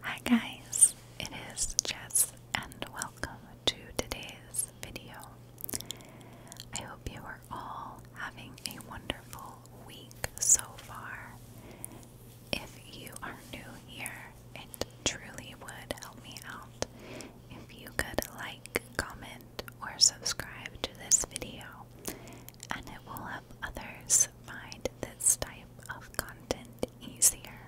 Hi guys, it is Jess and welcome to today's video. I hope you are all having a wonderful week so far. If you are new here, it truly would help me out if you could like, comment, or subscribe to this video, and it will help others find this type of content easier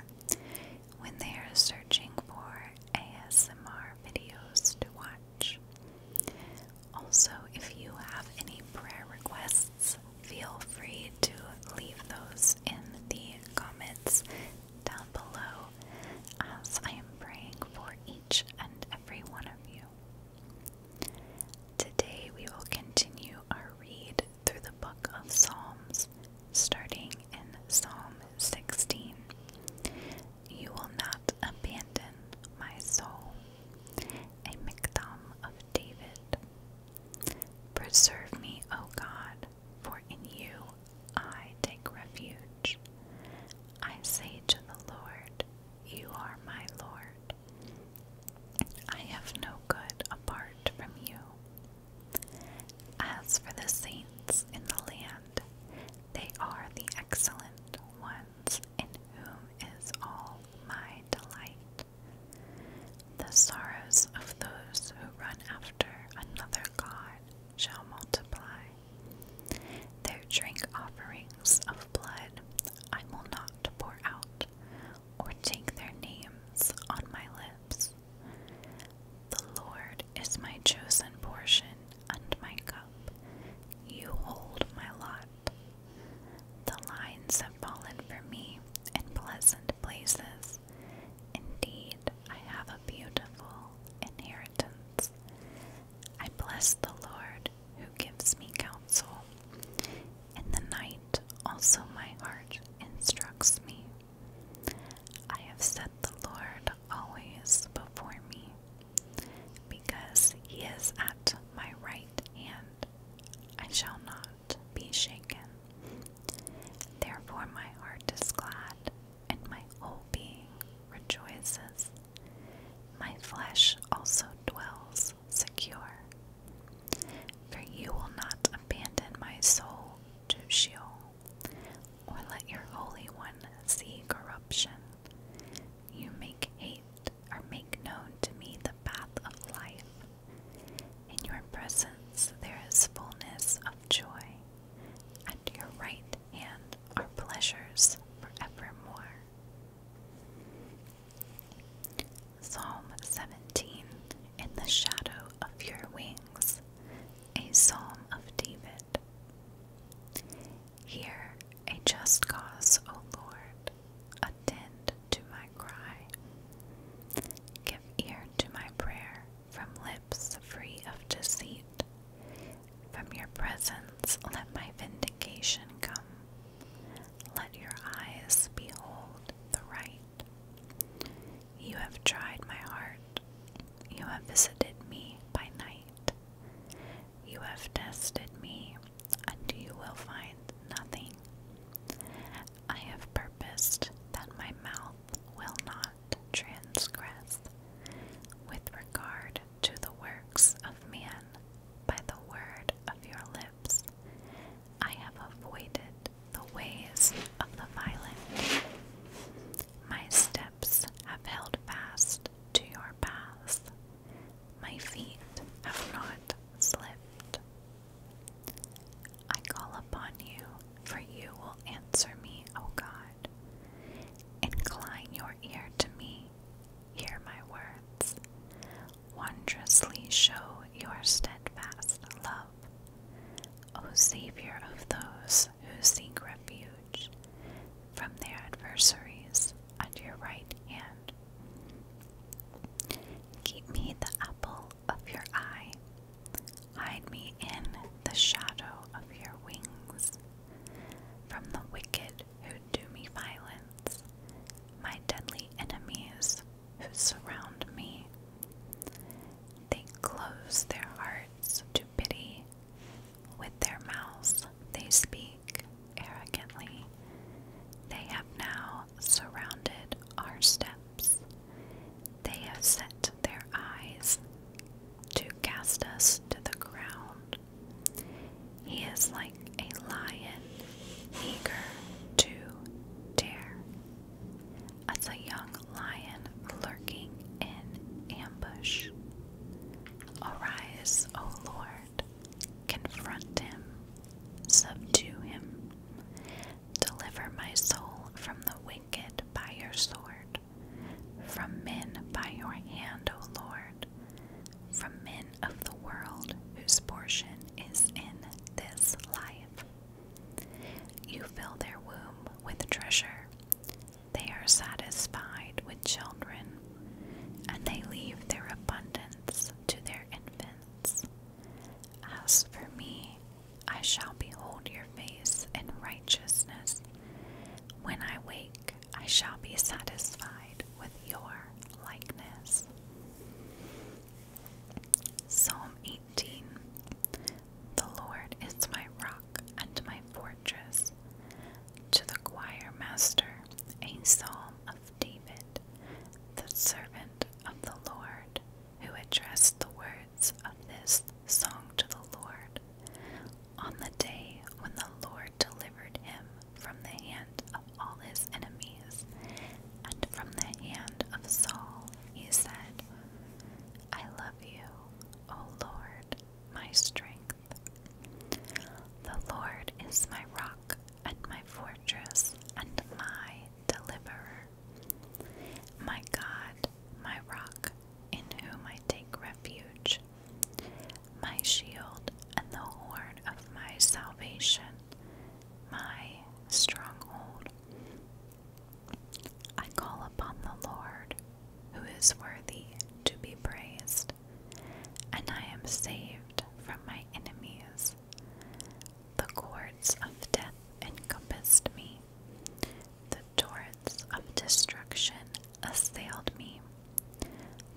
when they are searching for ASMR videos to watch. Also, if you have any prayer requests, feel free to leave those in the comments down below as I am praying for each and every one of you. Today we will continue our read through the book of Psalms, starting in Psalm 16. You will not abandon my soul. A mikdam of David. Preserve me, O God, for in you I take refuge. I say to the Lord, you are my Lord. I have no good apart from you. As for the saints in the land, they are the excellent ones in whom is all my delight. The sorrows of those who run after another God shall multiply. Their drink offerings of blood I will not pour out, or take their names on my lips. The Lord is my chosen portion and my cup. You hold my lot. The lines have fallen for me in pleasant places. Indeed, I have a beautiful inheritance. I bless the Lord who gives me counsel. In the night also my heart instructs me. I have set the Lord always before me. Because he is at my right hand, I shall not be shaken. Therefore, my heart is glad, and my whole being rejoices. My flesh also dwells secure. For you will not abandon my soul to Sheol, or let your Holy One see corruption. You make hate or make known to me the path of life. In your presence there is fullness of joy. and your right hand are pleasures forevermore. Psalm 17 In the shadow of your wings, a psalm of David. Hear a just cause, O Lord, attend to my cry. Give ear to my prayer from lips free of deceit. From your presence let my vindication come. Let your eyes behold the right. You have tried my heart. You have visited me by night. You have tested me, and you will find nothing. I have purposed that my mouth will not transgress. With regard to the works of man by the word of your lips. I have avoided the ways of the violent. My steps have held fast to your paths. My feet have not slipped. I call upon you, for you will answer me, O God. Incline your ear to me hear my words. Wondrously show your steadfast love. O Savior of those who seek refuge from their adversaries at your right hand. Keep me the apple of your eye. Hide me in the shadow of your wings from the wicked who do me violence, my deadly enemies who surround me. They close their hearts to pity. With their mouths they speak arrogantly. They have now surrounded our steps. They have set their eyes to cast us to the ground. He is like a lion eager to dare, as a young lion lurking in ambush. Arise, O Lord, confront him, subdue him, deliver my soul from the wicked by your sword, from men by your hand, O Lord from men of the world whose portion is in this life. You fill their womb with treasure. They are satisfied with children, and they leave their abundance to their infants. As for me, I shall behold your face in righteousness. When I wake, I shall be satisfied with your likeness. Psalm 18 The Lord is my rock and my fortress. To the choir master, a psalm of David, the servant of the Lord, who addressed the words of this song to the Lord on the day when the Lord delivered him from the hand of all his enemies and from the hand of Saul, he said, I love you, O Lord, my strength. The Lord is my rock and my fortress and my deliverer. My God, my rock, in whom I take refuge, my shield and the horn of my salvation, my stronghold. I call upon the Lord, who is worthy to be praised, and I am saved from my enemies. The cords of death encompassed me. The torrents of destruction assailed me.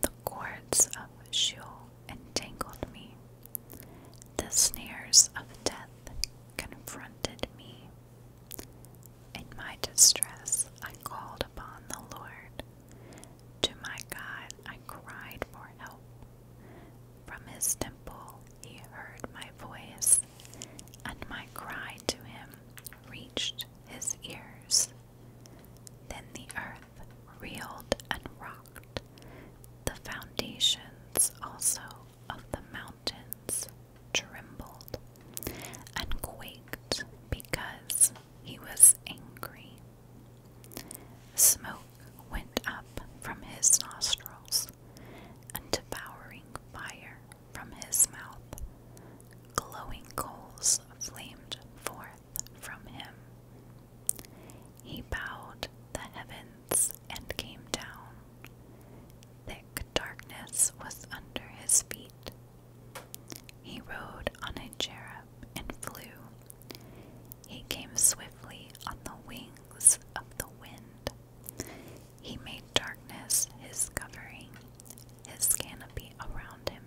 The cords of Sheol entangled me. The snares of death confronted me. In my distress, I called upon the Lord. To my God, I cried for help. From his temple, he heard my voice and my cry to him reached his ears. Then the earth reeled and rocked, the foundations also of the mountains trembled and quaked because he was angry. Smoke went up from his nostrils, and devouring fire from his mouth. Glowing coals flamed forth from him. He bowed the heavens and came down. Thick darkness was under his feet. He rode on a cherub and flew. He came swiftly on the wings of the wind. He made darkness his covering, his canopy around him,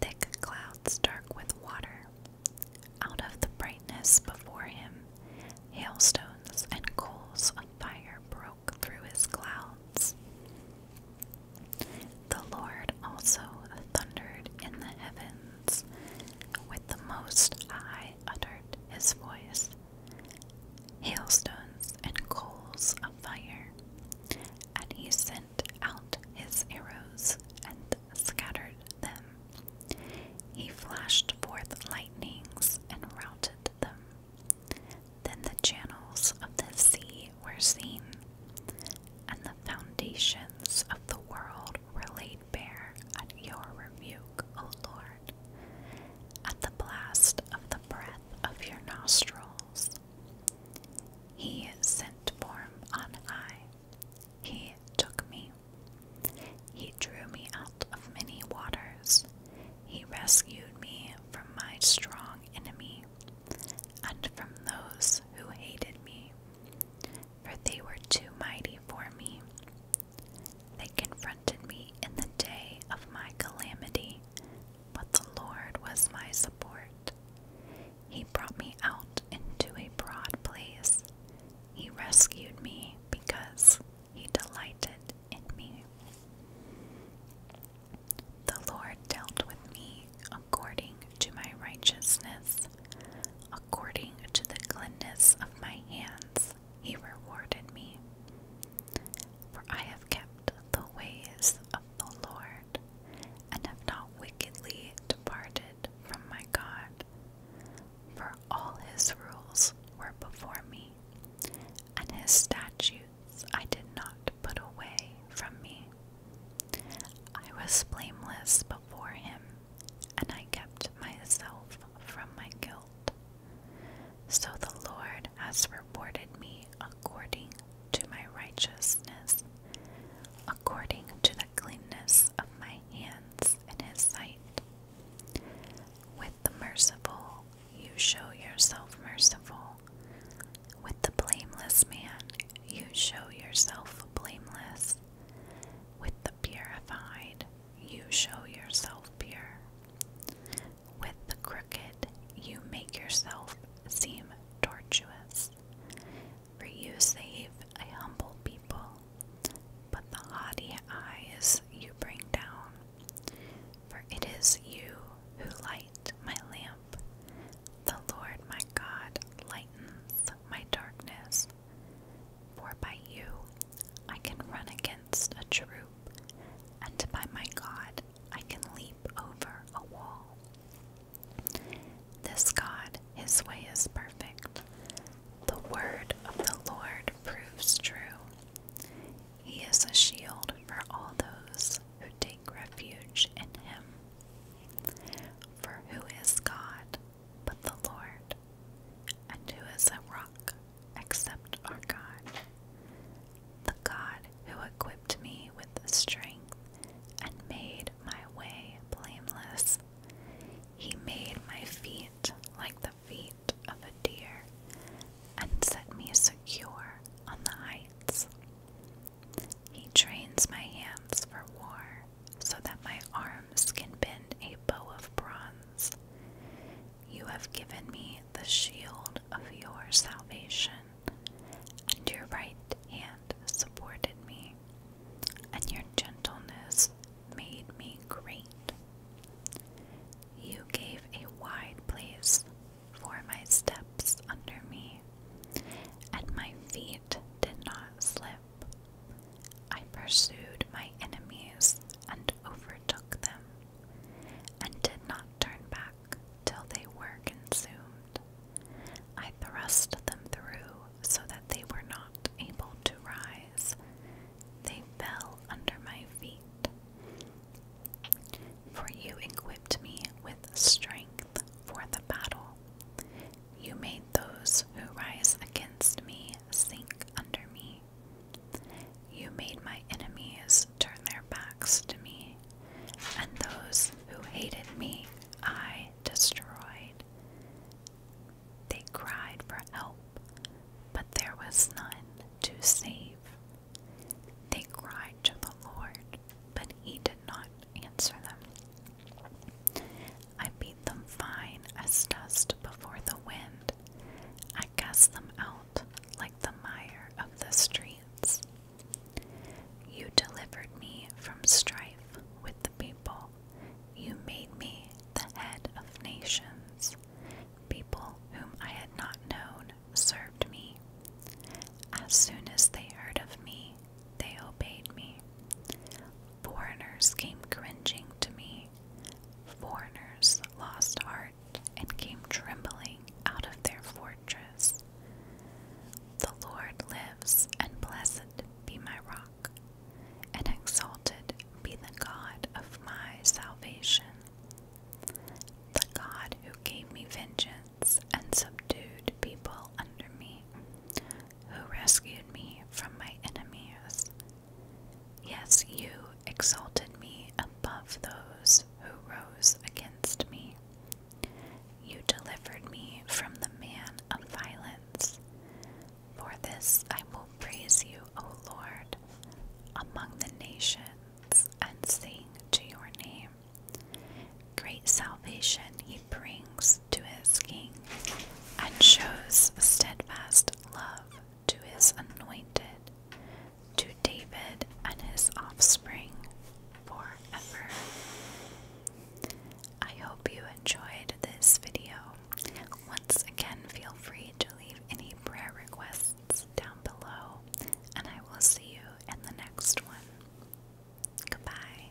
thick clouds dark with water. Out of the brightness before him, hailstones and coals of fire broke through his clouds. The Lord also thundered in the heavens, with the Most High uttered his voice hailstones and coals of fire, and he sent out his arrows and scattered them. He flashed forth lightnings and routed them. Then the channels of the sea were seen, and the foundations of the world were laid bare at your rebuke, O Lord at the blast of the breath of your nostrils. He sent form on high. He took me. He drew me out of many waters. He rescued me from my strong enemy and from those who hated me, for they were too mighty for me. They confronted me in the day of my calamity, but the Lord was my support. He brought me out into a broad place. He rescued me because he delighted in me. The Lord dealt with me according to my righteousness, according to the cleanness of my hands he rewarded me. For I have kept the ways of the Lord, and have not wickedly departed from my God. For all his rules were before me, and his statutes I did not put away from me. I was blameless before him, and I kept myself from my guilt. So the Lord has rewarded me according to my righteousness, according to the cleanness of my hands in his sight. With the merciful, you show yourself merciful. With the blameless man, you show yourself blameless. With the purified, you show yourself pure. With the crooked, you make yourself seem tortuous. For you save a humble people, but the haughty eyes you bring down. For it is you who light my lamp. The Lord my God lightens my darkness. For by you I can run against a troop, and by my God I can leap over a wall. This God, his way is perfect. The word of the Lord proves true. He is a shield for all those who take refuge in him. For who is God but the Lord? And who is a rock except our God, the God who equipped me with strength and made my way blameless. He made my feet like the feet of a deer and set me secure on the heights. He trains my hands for war so that my arms can bend a bow of bronze. You have given me the shield of your salvation, and your right hand supported me, and your gentleness made me great. You gave a wide place for my steps under me, and my feet did not slip. I pursued my enemies and overtook them, and did not turn back till they were consumed. I thrust them through so that they were not able to rise. They fell under my feet. For you equipped me with strength for the battle. You made those who rise against me sink under me. You made my enemies turn their backs to me, and those who hated me I destroyed. They cried for help, but there was none to save. They cried to the Lord, but he did not answer them. I beat them fine as dust before the wind. I cast them out like the mire of the streets. You delivered me from strife with the people. You made me the head of nations. People whom I had not known served me. As soon as they heard of me, they obeyed me. Foreigners came cringing to me. Foreigners lost heart and came trembling out of their fortress. The Lord lives, and blessed be my rock, and exalted be the God of my salvation. The God who gave me vengeance and subdued people under me, who rescued me from my enemies. Yes, you exalted me above those who rose against me. You delivered me from the man of violence. For this I will praise you, O Lord, among the nations, and sing to your name. Great salvation he brings to his king and shows steadfast love to his anointed, to David and his offspring forever. I hope you enjoyed this video. Once again, feel free to leave any prayer requests down below, and I will see you in the next one. Goodbye.